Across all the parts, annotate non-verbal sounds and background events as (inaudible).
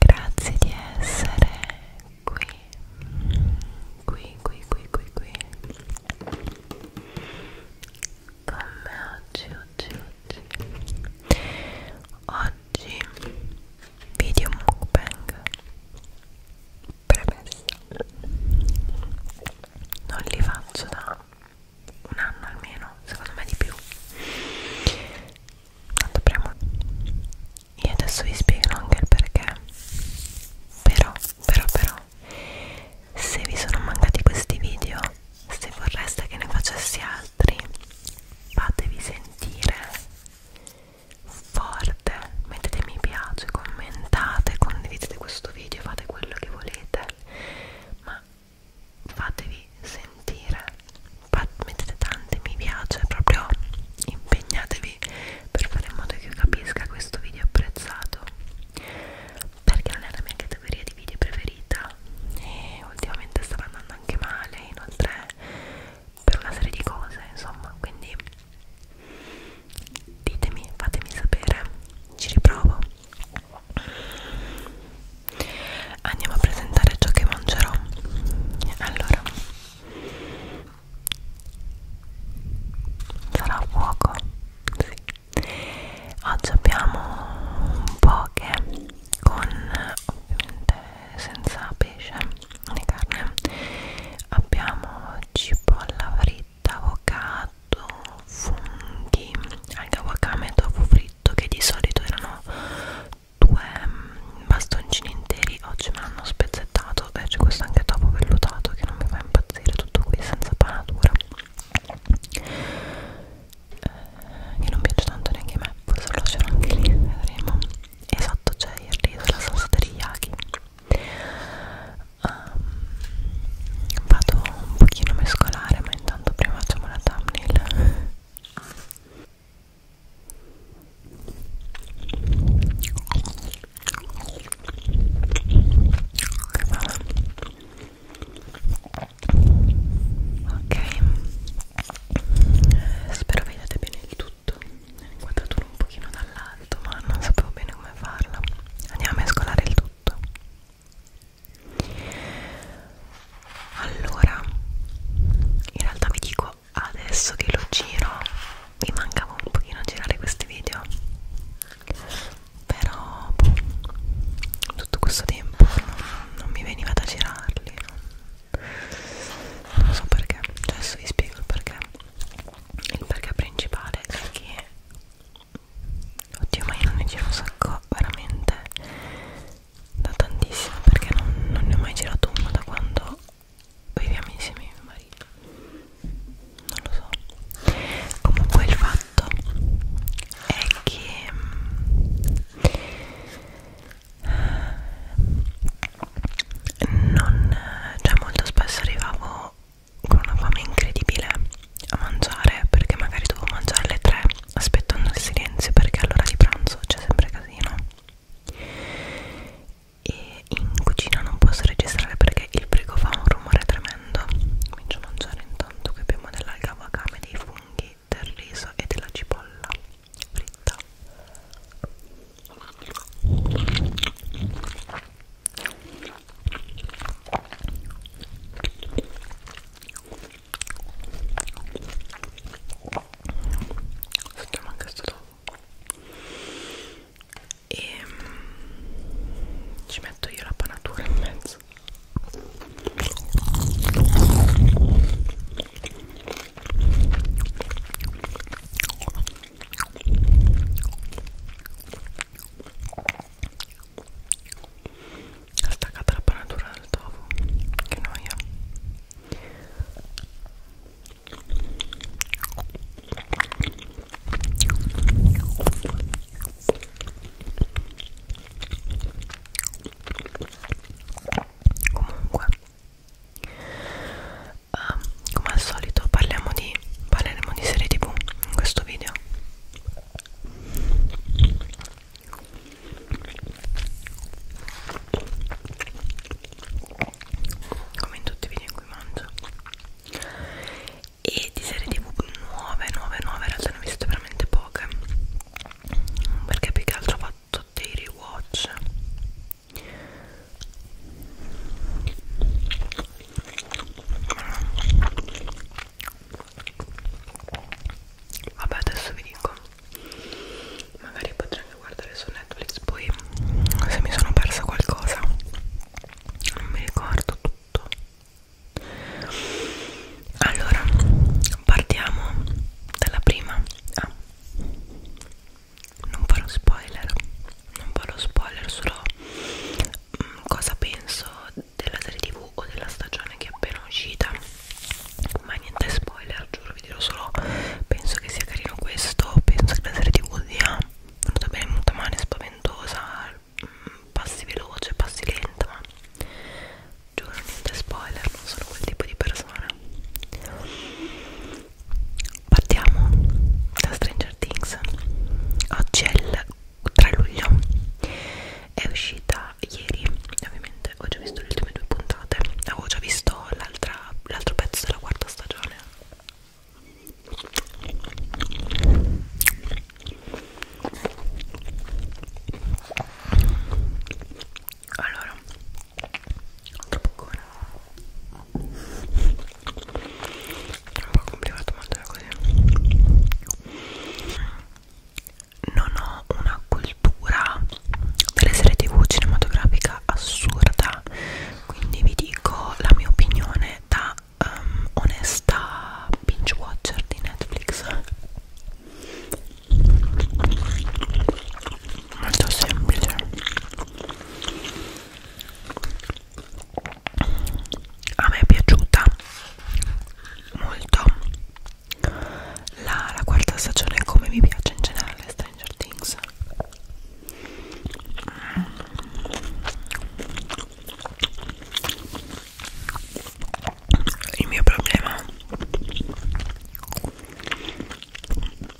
Grazie di essere qui, qui, qui, qui, qui, qui con me oggi, oggi, oggi oggi video mukbang premessa non li faccio da un anno almeno, secondo me di più tanto premo e adesso vi spiego anche il perché però, però, però se vi sono mancati questi video se vorreste che ne facessi altri fatevi sentire forte mettete mi piace commentate condividete questo video fate quello che volete ma fatevi sentire Fat mettete tanti mi piace proprio impegnatevi per fare in modo che io capisca questo video apprezzato perché non è la mia categoria di video preferita e ultimamente stava andando anche male inoltre per una serie di cose insomma quindi ditemi fatemi sapere ci riprovo andiamo a presentare ciò che mangerò allora sarà a fuoco sì. oggi abbiamo un poke con ovviamente senza pesce né carne abbiamo cipolla fritta, avocado, funghi anche avocado e tofu fritto che di solito erano due mm, bastoncini interi oggi me l'hanno spezzettato vellutato e eh, c'è questo anche dopo vellutato che non mi fa impazzire tutto qui senza panatura eh, che non piace tanto neanche a me forse lo lascerò anche lì vedremo esatto c'è il riso la salsa teriyaki um, vado un pochino a mescolare ma intanto prima facciamo la thumbnail ok spero vediate bene il tutto ho inquadratura un pochino dall'alto ma non sapevo bene come farla andiamo a mescolare il tutto allora in realtà vi dico adesso che lo giro mi mancava un pochino girare questi video però boh, tutto questo tempo non, non mi veniva da girarli non so perché cioè adesso vi spiego il perché il perché principale è che oddio ma io non ne giro un sacco veramente da tantissimo perché non, non ne ho mai girato uno da quando viviamo insieme a mio marito non lo so comunque il fatto è che ehm, non cioè molto spesso arrivavo con una fame incredibile a mangiare perché magari dovevo mangiare alle 3 aspettando il silenzio perché all'ora di pranzo c'è sempre casino e in cucina non posso registrare perché il frigo fa un rumore tremendo comincio a mangiare intanto che abbiamo della gavacame dei funghi del riso e della cipolla fritta Sotto manca sto e mm, ci metto io la panatura in mezzo attaccata la panatura del tofu che noia Comunque, um, come al solito, parliamo di parleremo di serie tv in questo video come in tutti i video in cui mangio e di serie tv nuove nuove nuove in realtà ne ho viste veramente poche perché più che altro ho fatto dei rewatch vabbè adesso vi dico magari potrei anche guardare su Netflix poi se mi sono persa qualcosa non mi ricordo tutto allora partiamo dalla prima ah. non farò spoiler non farò spoiler solo mh, mm, cosa penso della serie tv o della stagione che è appena uscita ma niente spoiler giuro vi dirò solo penso che sia carino questo penso che la serie tv sia andata bene molto male, spaventosa, mm, passi veloce, passi lenta, ma giuro niente spoiler, non sono quel tipo di persona. Partiamo da Stranger Things. Oggi è il 3 luglio, è uscita ieri, ovviamente ho già visto le ultime due puntate, avevo già visto l'altro pezzo della quarta stagione allora, troppo poco non è un po' complicato mangiare così non ho una cultura delle serie tv cinematografica assurda quindi vi dico la mia opinione da um, onesta binge watcher di Netflix molto semplice a me è piaciuta molto la, la quarta stagione come mi piace in generale Stranger Things il mio problema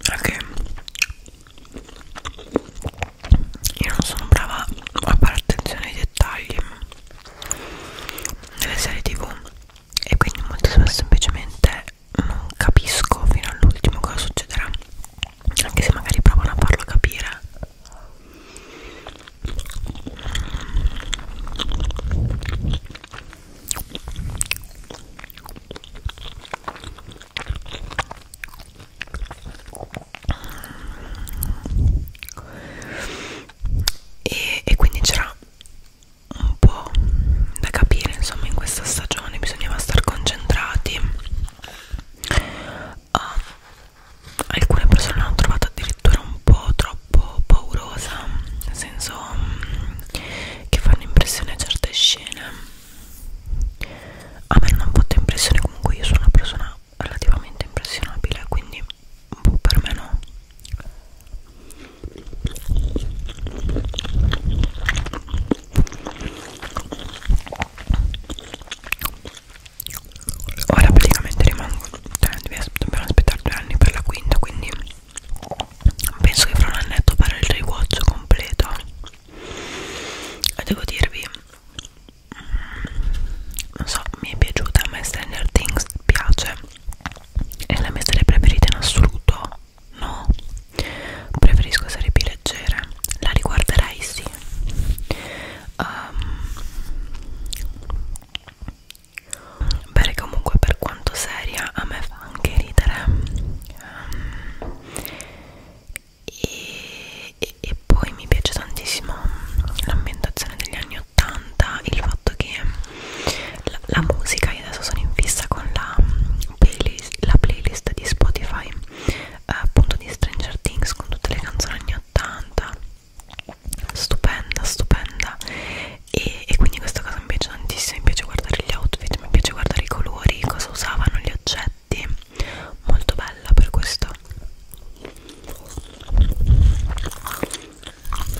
è che io non sono brava a fare attenzione ai dettagli nelle serie tv e quindi molto spesso semplicemente non capisco fino all'ultimo cosa succederà anche se magari provano a farlo capire e, e quindi c'era un po' da capire insomma in questa stagione bisognava star concentrati ah, alcune persone l'hanno trovata addirittura un po' troppo paurosa nel senso mm, che fanno impressione a certe scene a me non ha fatto impressione comunque io sono una persona relativamente impressionabile quindi boh, per me no ora praticamente rimango cioè, dobbiamo aspettare due anni per la quinta quindi penso che fra un annetto fare il rewatch completo e devo dirvi mm, non so mi è piaciuta a me Stranger Things piace è la mia serie preferita in assoluto No, preferisco serie più leggere. La riguarderei, sì. Um, ehm, beh, comunque, per quanto seria, a me fa anche ridere. Um, e, e, e poi mi piace tantissimo l'ambientazione degli anni 80, il fatto che la, la musica, io adesso sono in fissa con la playlist, la playlist di Spotify eh, appunto di Stranger Things con tutte le canzoni anni 80 stupenda stupenda e, e quindi questa cosa mi piace tantissimo mi piace guardare gli outfit mi piace guardare i colori cosa usavano gli oggetti molto bella per questo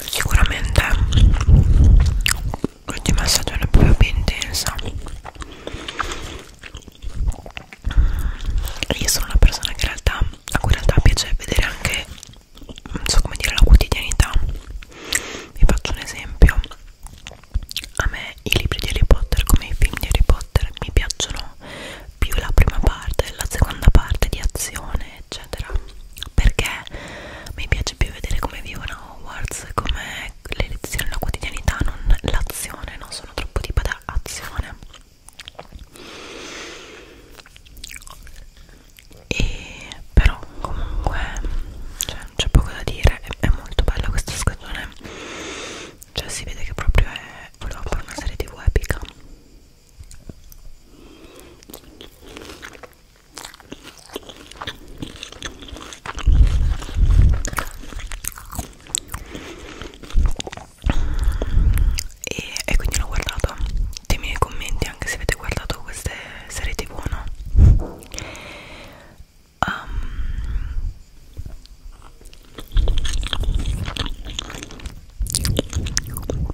sicuramente oggi massaggio è una proprio più intensa io sono una persona che in realtà a cui in realtà piace vedere anche non so come dire la quotidianità vi faccio un esempio a me i libri di Harry Potter come i film di Harry Potter mi piacciono più la prima parte la seconda parte di azione eccetera perché mi piace più vedere come vivono a Hogwarts come le lezioni la quotidianità non l'azione non sono troppo tipo da azione e però comunque cioè, c'è poco da dire è, è molto bella questa scattone cioè si vede che proprio è volevo fare una serie tv epica e, e quindi l'ho guardato ditemi nei commenti anche se avete guardato queste serie tv o no um,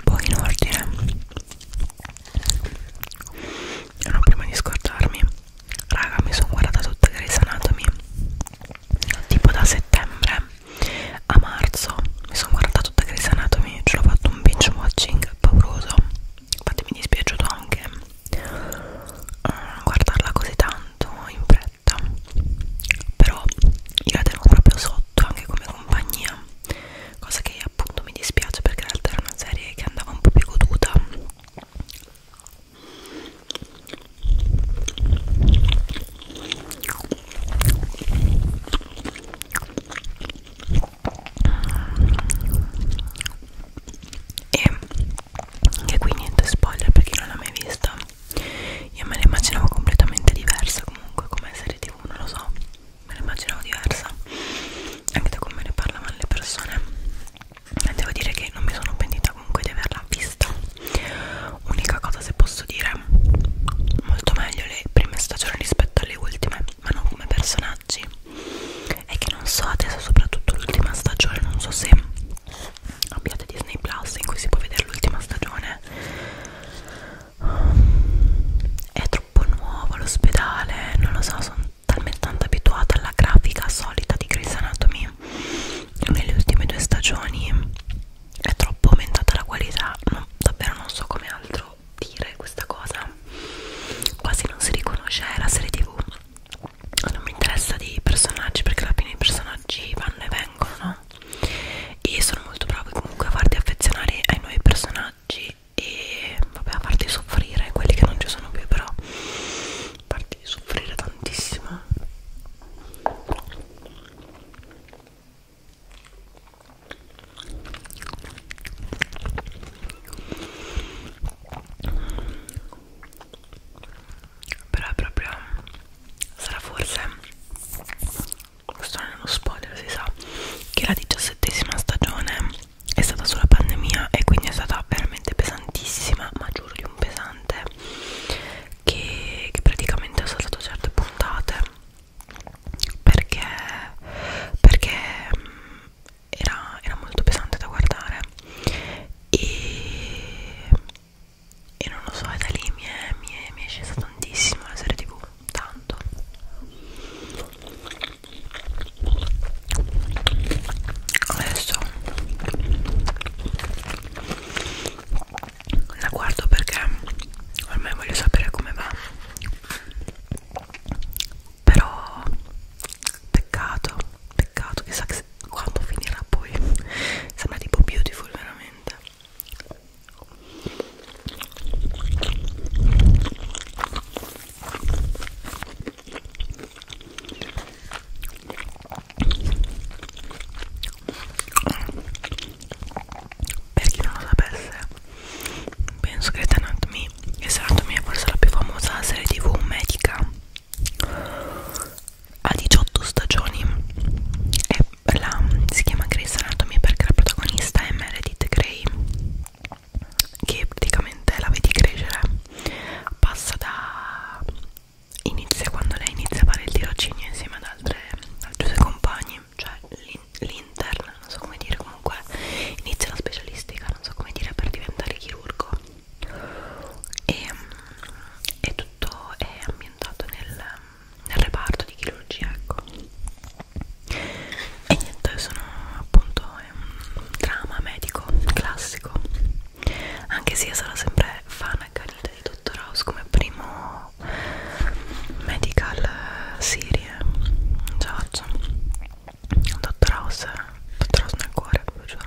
poi in ordine no prima di scordarmi raga mi sono guardata tutta Grey's Anatomy tipo da settembre a marzo mi sono guardata tutta Grey's Anatomy ce l'ho fatto un binge watching pauroso infatti mi è dispiaciuto anche um, guardarla così tanto in fretta però io la tengo proprio sotto anche come compagnia cosa che appunto mi dispiace perché in realtà era una serie che andava un po' più goduta e anche qui niente spoiler per chi non l'ha mai vista io me la immaginavo completamente diversa comunque come serie tv non lo so me la immaginavo diversa anche da come ne parlavano le persone devo dire che non mi sono pentita comunque di averla vista unica cosa se posso dire molto meglio le prime stagioni rispetto alle ultime ma non come personaggi è che non so adesso soprattutto l'ultima stagione non so se abbiate Disney Plus in cui si può vedere l'ultima stagione è troppo nuovo l'ospedale non lo so sono talmente tanto abituata alla grafica solita di Grey's Anatomy nelle ultime due stagioni è troppo aumentata la qualità no, davvero non so come altro dire questa cosa quasi non si riconosce la serie tv non mi interessa di personaggi perché alla fine i personaggi vanno e vengono no? e sono molto bravo comunque a farti affezionare ai nuovi personaggi e vabbè a farti soffrire quelli che non ci sono più però farti soffrire tantissimo però è proprio sarà forse questo non è uno spoiler si sa che la diciassettesima stagione è stata sulla pandemia e quindi è stata veramente pesantissima ma giuro di un pesante che, che praticamente ho saltato certe puntate perché, perché mm, era, era molto pesante da guardare e, e non lo so, da lì mi è, mi, è, mi è scesa tantissimo la serie tv, tanto adesso la guardo perché ormai voglio sapere come va però peccato peccato chissà che quando finirà poi sembra tipo beautiful veramente per chi non lo sapesse, penso che Grey's Anatomy e Grey's Anatomy è forse la più famosa serie tv medica ha 18 stagioni e la, si chiama Grey's Anatomy perché la protagonista è Meredith Grey che praticamente la vedi crescere passa da inizia quando lei inizia a fare il tirocinio insieme ad altre altri suoi compagni cioè l'intern non so come dire comunque inizia la specialistica non so come dire per diventare chirurgo e, e tutto è ambientato nel, nel reparto di chirurgia ecco e niente sono appunto è un drama medico classico anche se io sarò sempre fan accanita di Dottor House come primo medical serie Giorgio Dottor House Dottor House nel cuore, lo giuro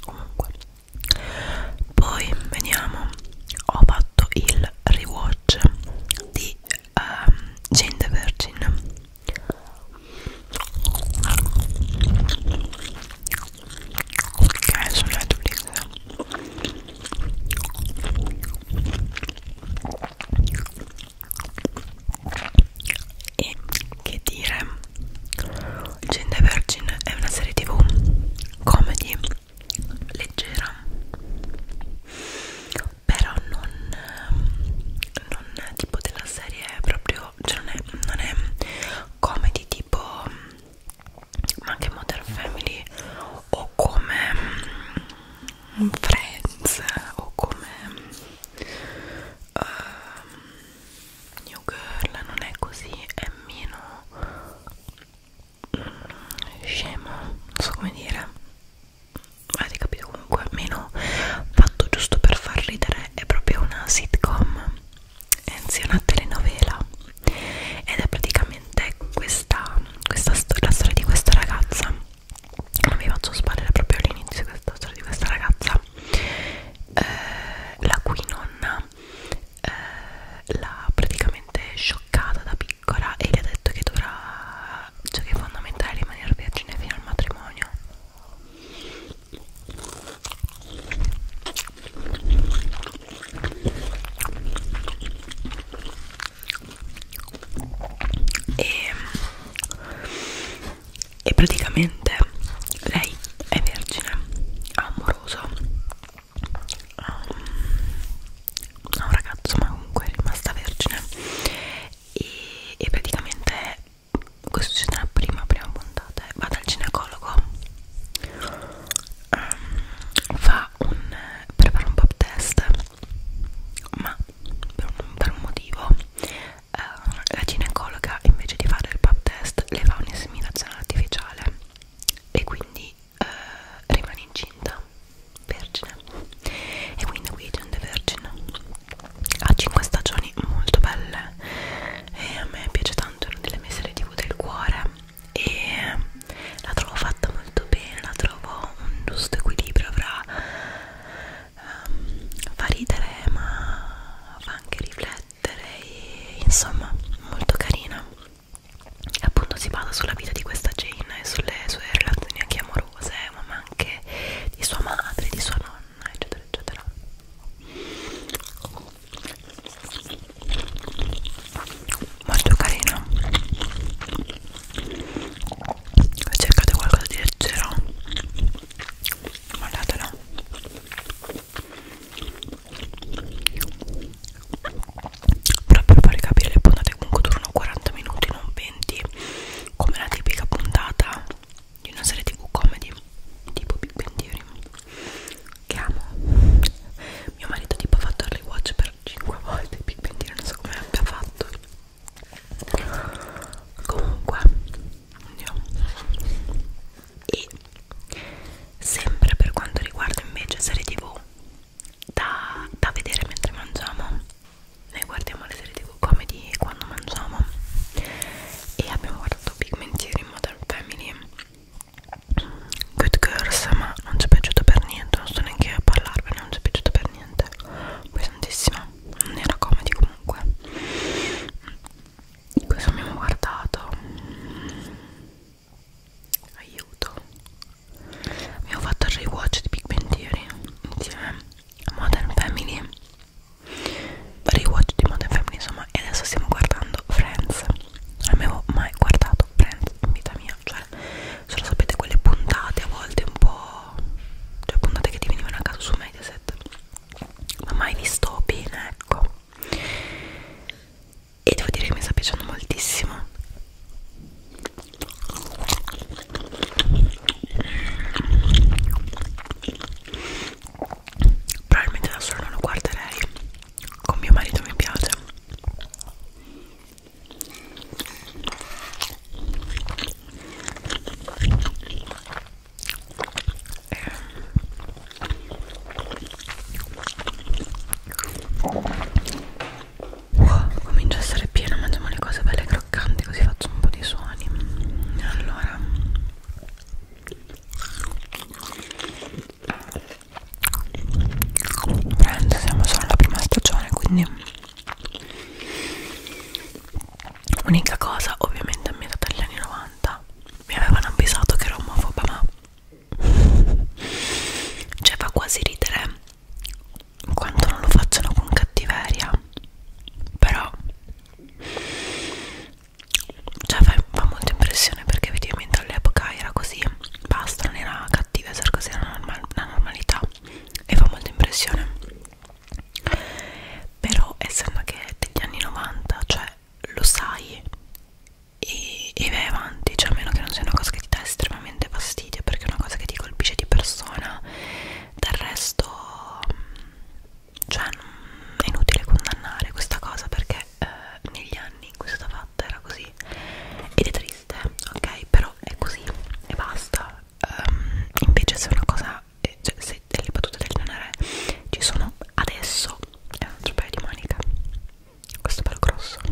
comunque poi veniamo ho fatto il rewatch di um, Jane the Virgin che è su Netflix e che dire Gente Virgin è una serie tv comedy leggera però non, non tipo della serie proprio cioè non è, non è comedy tipo ma anche Modern Family o come mm, Friends o come uh, New Girl non è così, è meno mm, scemo, non so come dire, avete capito comunque, meno fatto giusto per far ridere, è proprio una sitcom, anzi una telenovela ed è praticamente questa, questa la storia di questa ragazza, non vi faccio sparare proprio all'inizio questa storia di questa ragazza sia eh, la cui nonna eh, l'ha praticamente scioccata da piccola e le ha detto che dovrà cioè che è fondamentale rimanere vergine fino al matrimonio e e praticamente lei è vergine, ha amoroso, ha um, un ragazzo ma comunque è rimasta vergine e, e praticamente questo succede nella prima, prima puntata, eh. va dal ginecologo, um, fa un, prepara un pop test ma per un, per un motivo Uh, la ginecologa invece di fare il pap test le fa un'inseminazione artificiale e quindi uh, rimane incinta vergine e quindi qui c'è un The Virgin ha 5 stagioni molto belle e a me piace tanto è una delle mie serie tv del cuore e la trovo fatta molto bene la trovo un giusto equilibrio fra um, fa ridere ma fa anche riflettere e insomma molto carina e appunto si basa sulla vita di questa Jane e sulle sue relazioni anche amorose ma anche di sua madre, di sua nonna eccetera eccetera molto carina cercate qualcosa di leggero guardatela però per fare capire le puntate comunque durano 40 minuti non 20 come la tipica puntata di una serie tv comedy tipo Big Bang Theory che amo mio marito tipo ha fatto early watch per 5 volte Big Bang Theory non so come abbia fatto comunque andiamo e sempre per quanto riguarda invece serie tv da, da vedere mentre mangiamo noi guardiamo le serie tv comedy quando mangiamo e abbiamo guardato Pigmentieri in Modern Family Good Girls ma non ci è piaciuto per niente non sto neanche a parlarvene non ci è piaciuto per niente pesantissima non era comodi comunque questo abbiamo guardato aiuto abbiamo fatto il rewatch di Big Bang Theory insieme a Modern Family rewatch di Modern Family insomma e adesso stiamo guardando Friends non avevo mai guardato Friends in vita mia cioè solo sapete quelle puntate a volte un po' cioè puntate che ti venivano a caso su Mediaset ma mai visto bene ecco e devo dire che mi sta piacendo moltissimo probabilmente da solo non lo guarderei con mio marito mi piace eh. Wow, comincia a essere pieno, mangiamo le cose belle croccanti così faccio un po' di suoni. Allora Prendo, siamo solo alla prima stagione, quindi Unica cosa, ovviamente a metà degli anni 90 mi avevano avvisato che ero omofoba, ma (laughs) cioè fa quasi ridere quanto non lo facciano con cattiveria, però cioè fa, fa molta impressione perché effettivamente all'epoca era così, basta, non era cattiva, era così, era una, normal, una normalità e fa molta impressione però essendo che è degli anni 90 cioè lo sai e, e vai avanti cioè a meno che non sia una cosa che ti dà estremamente fastidio perché è una cosa che ti colpisce di persona del resto mm, cioè è inutile condannare questa cosa perché eh, negli anni in cui è stata fatta era così ed è triste ok però è così e basta um, invece se è una cosa nana eh, cioè se le battute del nanare ci sono adesso è un altro paio di manica questo è bello grosso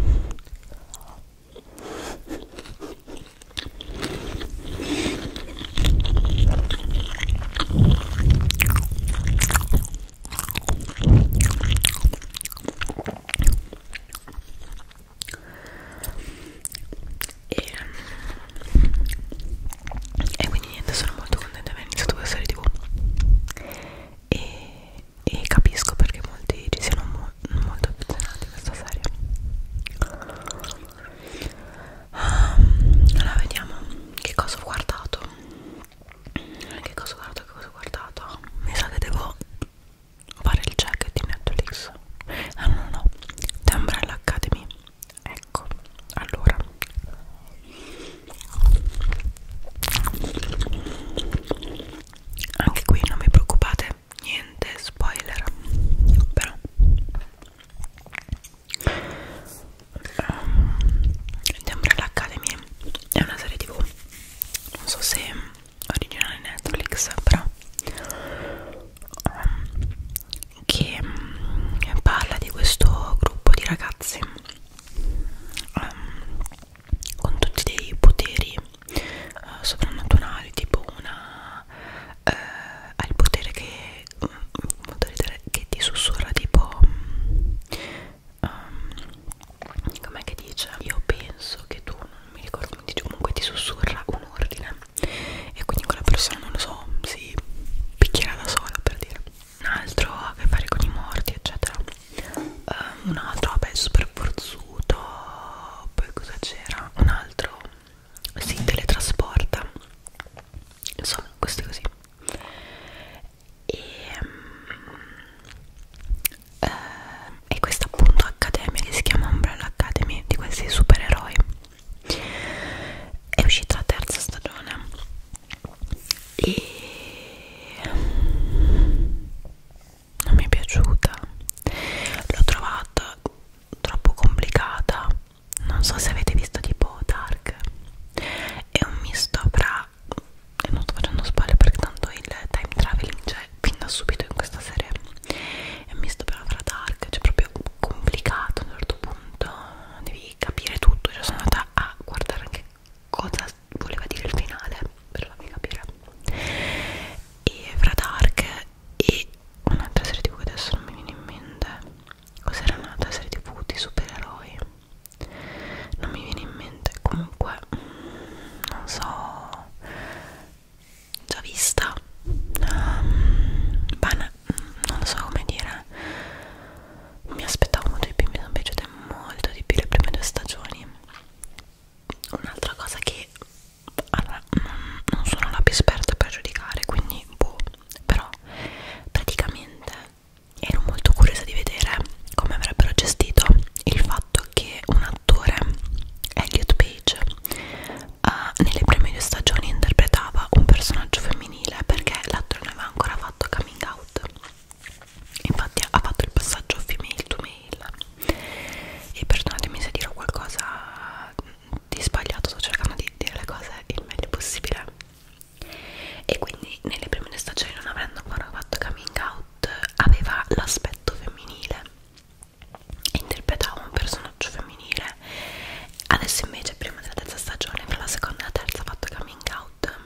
e, e quindi niente sono molto contenta di aver iniziato questa serie tv e, e capisco perché molti ci siano mo molto affezionati a questa serie um, allora vediamo che cosa ho guardato che cosa ho guardato che cosa ho guardato mi sa che devo fare il check di Netflix ah no no no The Umbrella Academy ecco allora anche qui non vi preoccupate niente spoiler però um, ehm, Umbrella Academy è una serie tv non so se originale Netflix però um, che mh, mm, parla di questo gruppo di ragazze um, con tutti dei poteri uh, soprannaturali tipo una uh, ha il potere che, um, che ti sussurra tipo um, com'è che dice io penso che tu non mi ricordo quindi comunque ti sussurra un ordine e quindi quella persona non lo so si picchierà da sola per dire un altro ha a che fare con i morti eccetera um, un altro vabbè super forzuto poi cosa c'era un altro si teletrasporta insomma questo è così e, um, ehm, e questa appunto accademia che si chiama Umbrella Academy di questi supereroi è uscita la terza stagione e non mi è piaciuta l'ho trovata troppo complicata non so se avete visto tipo Dark è un misto fra e non sto facendo spoiler perché tanto il time traveling c'è fin da subito in questa serie è un misto però fra Dark c'è proprio proprio complicato a un certo punto devi capire tutto cioè sono andata a guardare anche cosa voleva dire il finale per farvi capire e fra Dark e un'altra serie tv che adesso non mi viene in mente cos'era un'altra serie tv di supereroi non mi viene in mente comunque mm, non so già vista um, ehm, bana, non so come dire mi aspettavo molto di più mi sono piaciute molto di più le prime due stagioni un'altra cosa che allora, non, non sono la più esperta per giudicare quindi boh però praticamente ero molto curiosa di vedere come avrebbero gestito il fatto che un attore Elliot Page attrice uh, nelle prime due stagioni interpretava un personaggio femminile perché l'attore non aveva ancora fatto coming out infatti ha fatto il passaggio female to male e perdonatemi se dirò qualcosa di sbagliato sto cercando di dire le cose il meglio possibile e quindi nelle prime due stagioni non avendo ancora fatto coming out aveva l'aspetto femminile interpretava un personaggio femminile adesso invece prima della terza stagione fra la seconda e la terza ha fatto coming out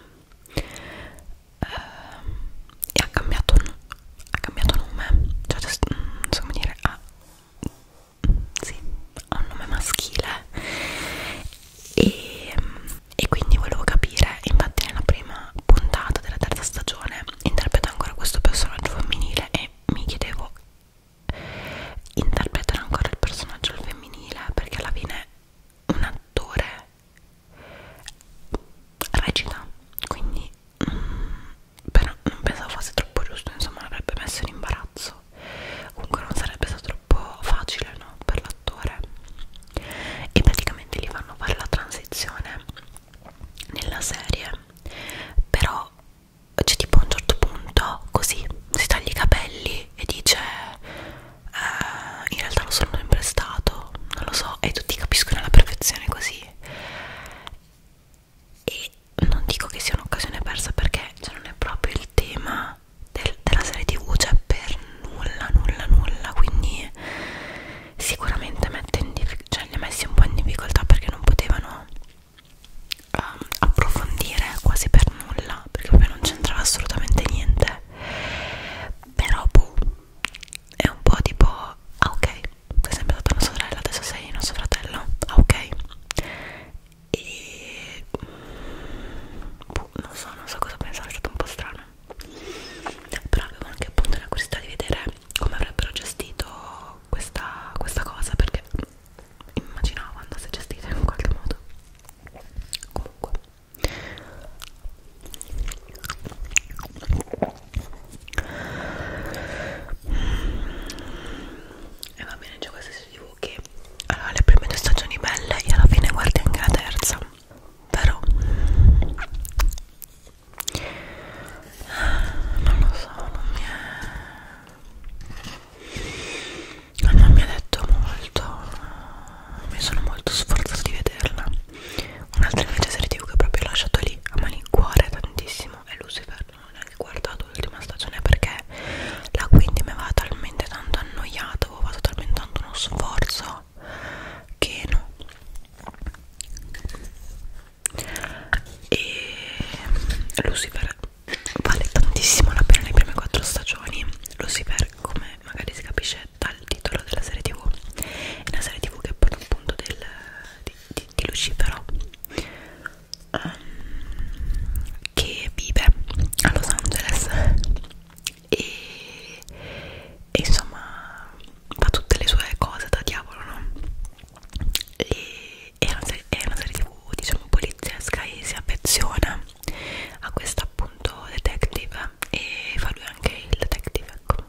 uh, e ha cambiato, ha cambiato nome cioè mm, non so come dire ha, mm, sì, ha un nome maschile e, ehm, e quindi volevo capire infatti nella prima puntata della terza stagione interpreta ancora questo personaggio femminile e mi chiedevo interpretare ancora il personaggio al femminile perché alla fine un attore recita quindi mh, mm, però non pensavo fosse troppo giusto insomma l'avrebbe messo in imbarazzo comunque non sarebbe stato troppo facile no per l'attore e praticamente gli fanno fare la transizione nella serie però c'è tipo a un certo punto così si taglia i capelli e dice eh, in realtà lo sono sempre stato non lo so e tutti capiscono alla perfezione così e non dico che sia un'occasione persa perché cioè, non è proprio il tema del, della serie tv cioè per nulla nulla nulla quindi sicuramente mette in cioè, li ha messi un po' in difficoltà perché non potevano um, approfondire quasi per nulla perché proprio non c'entrava assolutamente niente però boh, è un po' tipo ah ok sei sempre stata una sorella adesso sei nostro fratello ah ok e boh, non so non so cosa pensare è stato un po' strano però avevo anche appunto la curiosità di vedere come avrebbero gestito questa, questa cosa perché immaginavo andasse gestita in qualche modo comunque e va bene c'è questo studio che allora le prime due stagioni belle e alla fine guardi anche la terza però non lo so, non mi è non mi ha detto molto mi sono molto sforzata di vederla un'altra invece serie tv che proprio ho lasciato lì a malincuore tantissimo è Lucifer non ho neanche guardato l'ultima stagione perché la quindi mi aveva talmente tanto annoiata avevo fatto talmente tanto uno sforzo che no e Lucifer vale tantissimo la pena le prime quattro stagioni Lucifer come magari si capisce dal titolo della serie tv è una serie tv che parla appunto del, di, di, di Lucifero um, che vive a Los Angeles e, e insomma fa tutte le sue cose da diavolo no? e è una serie, è una serie tv diciamo poliziesca e si affeziona a questa appunto detective e fa lui anche il detective ecco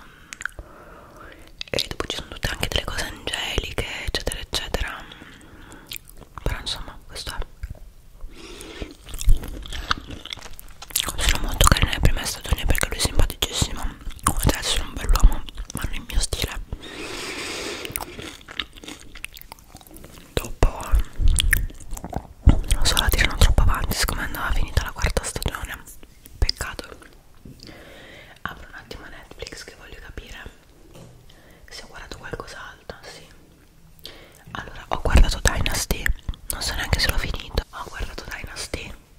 mm. e dopo ci sono tutte anche delle cose angeliche eccetera eccetera però insomma questo è sono molto carina le prime stagioni perché lui è simpaticissimo adesso è un bell'uomo ma nel mio stile dopo non so la tirano troppo avanti siccome andava finita la quarta stagione peccato apro un attimo Netflix che voglio capire se ho guardato qualcos'altro sì allora ho guardato Dynasty non so neanche se l'ho finito ho guardato Dynasty poi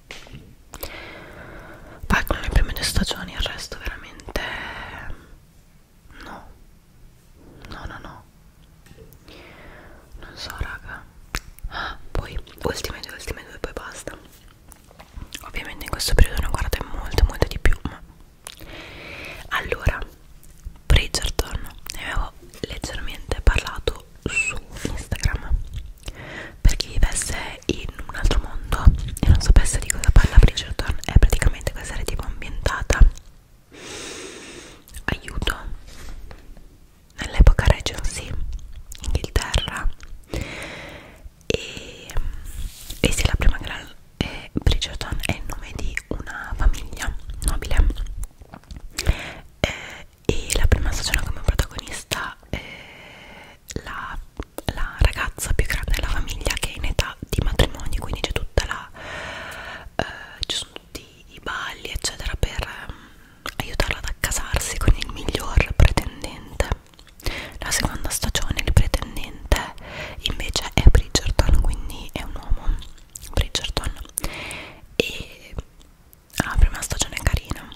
con le prime due stagioni il resto veramente no no no no non so raga ah, poi ultime due ultime due poi basta ovviamente in questo periodo ne ho guardate molto molto di più ma... allora Bridgerton ne avevo leggermente parlato seguirlo su Instagram per chi vivesse in un altro mondo e non sapesse di cosa parla Bridgerton è praticamente questa serie tipo ambientata aiuto nell'epoca Regency Inghilterra e, e se la prima gara è Bridgerton è il nome di una famiglia nobile eh, e la prima stagione come protagonista eh, la, la ragazza più grande della famiglia che è in età di matrimonio quindi c'è tutta la eh, ci sono tutti i balli eccetera per eh, aiutarla ad accasarsi con il miglior pretendente la seconda stagione il pretendente invece è Bridgerton quindi è un uomo Bridgerton e Ah, la prima stagione è carina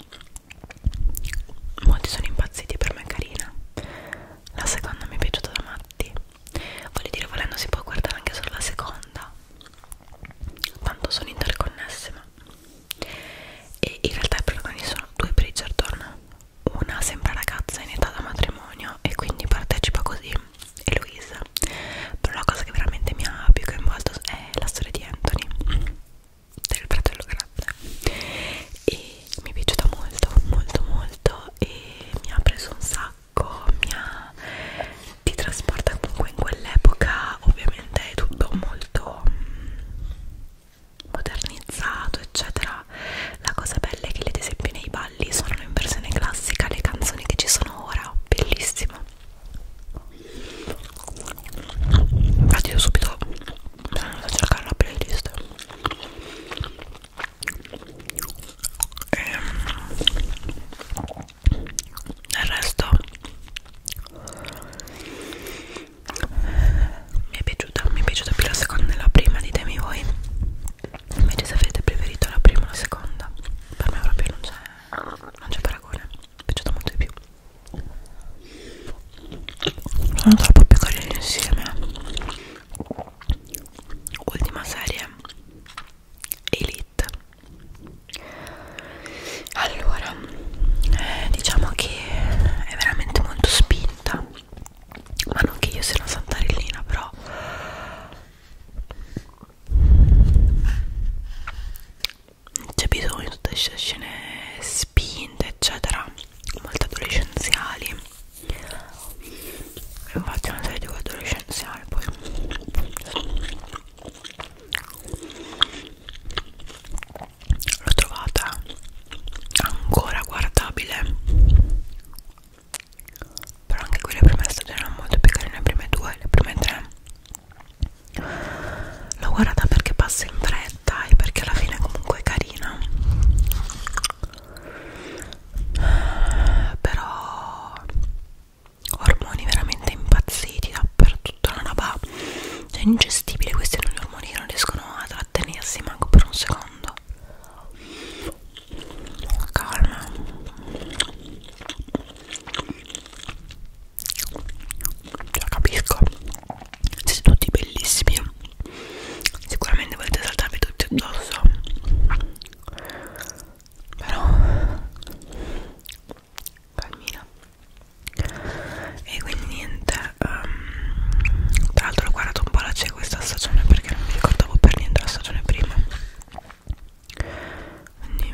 molti sono impazziti per me è carina la seconda mi è piaciuta da matti voglio dire volendo si può guardare anche solo la seconda tanto sono interconnesse ma e in realtà i protagonisti sono due Bridgerton una sembra ragazza in età da matrimonio e quindi partecipa così e Louise però la cosa che veramente mi ha più coinvolto è la storia di Anthony del fratello grande e mi è piaciuta molto molto molto e mi ha preso un sacco mi ha ti trasporta comunque in quell'epoca ovviamente è tutto molto mm, modernizzato eccetera la cosa bella è che ad esempio nei balli suonano in versione classica le canzoni che ci sono ora bellissimo infatti io subito sono andata a cercare la playlist e ehm, il resto mi è piaciuta mi è piaciuta più la seconda e la prima ditemi voi invece se avete preferito la prima o la seconda per me proprio non c'è non c'è paragone mi è piaciuta molto di più sono troppo più carini insieme ultima serie Elite allora eh, diciamo che è veramente molto spinta ma non che io sia una santarellina però c'è bisogno di queste scene spinte eccetera molto adolescenziali io faccio una serie di adolescenziali poi l'ho trovata ancora guardabile però anche qui le prime stagioni erano molto più carine le prime due, le prime tre l'ho guardata perché passa in fretta e perché alla fine comunque è carina però ormoni veramente impazziti dappertutto la roba cioè ingestibile questi non gli ormoni che non riescono a trattenersi manco per un secondo calma la capisco siete tutti bellissimi sicuramente volete saltarvi tutti addosso però calmina e quindi niente um, tra l'altro ho guardato un po' la c'è questa stagione perché non mi ricordavo per niente la stagione prima quindi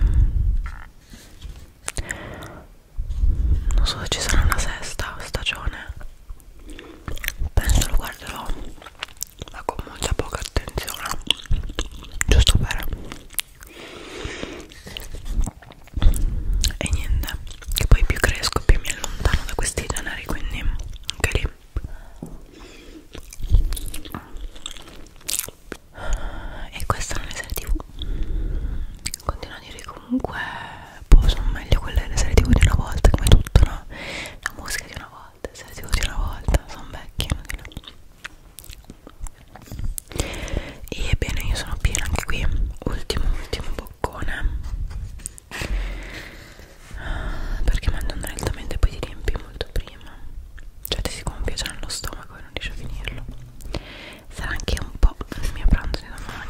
non so se ci sarà una sesta stagione penso lo guarderò ma con molta poca attenzione giusto per e niente che poi più cresco più mi allontano da questi generi quindi anche lì e questa non è serie tv continuo a dire che comunque boh, sono meglio quelle delle serie tv di una volta come tutto no? la musica di una volta le serie tv di una volta sono vecchie e ebbene io sono piena anche qui ultimo ultimo boccone perché mando un rallentamento e poi ti riempi molto prima cioè ti si gonfia già nello stomaco e non riesci a finirlo sarà anche un po' il mio pranzo di domani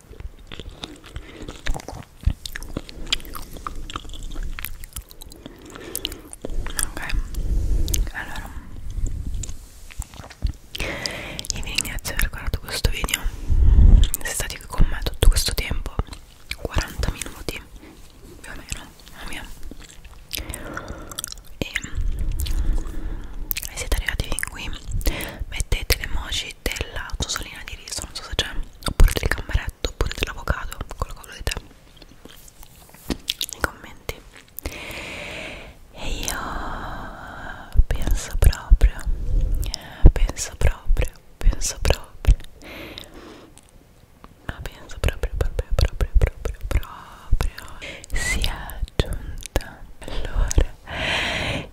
ok allora io vi ringrazio per aver guardato questo video siete stati qui con me tutto questo tempo 40 minuti più o meno mia. e se siete arrivati fin qui mettete le emoji e della tosolina di riso, non so se c'è, oppure del gamberetto, oppure dell'avocado, quello che volete nei commenti. E io penso proprio, penso proprio, penso proprio, penso proprio, proprio, proprio, proprio, proprio, sia giunta. Allora,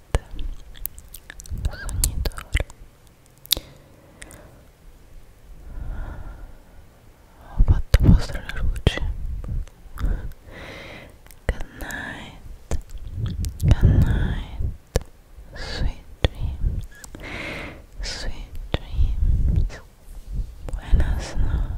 good night good night sweet dreams sweet dreams buenas noches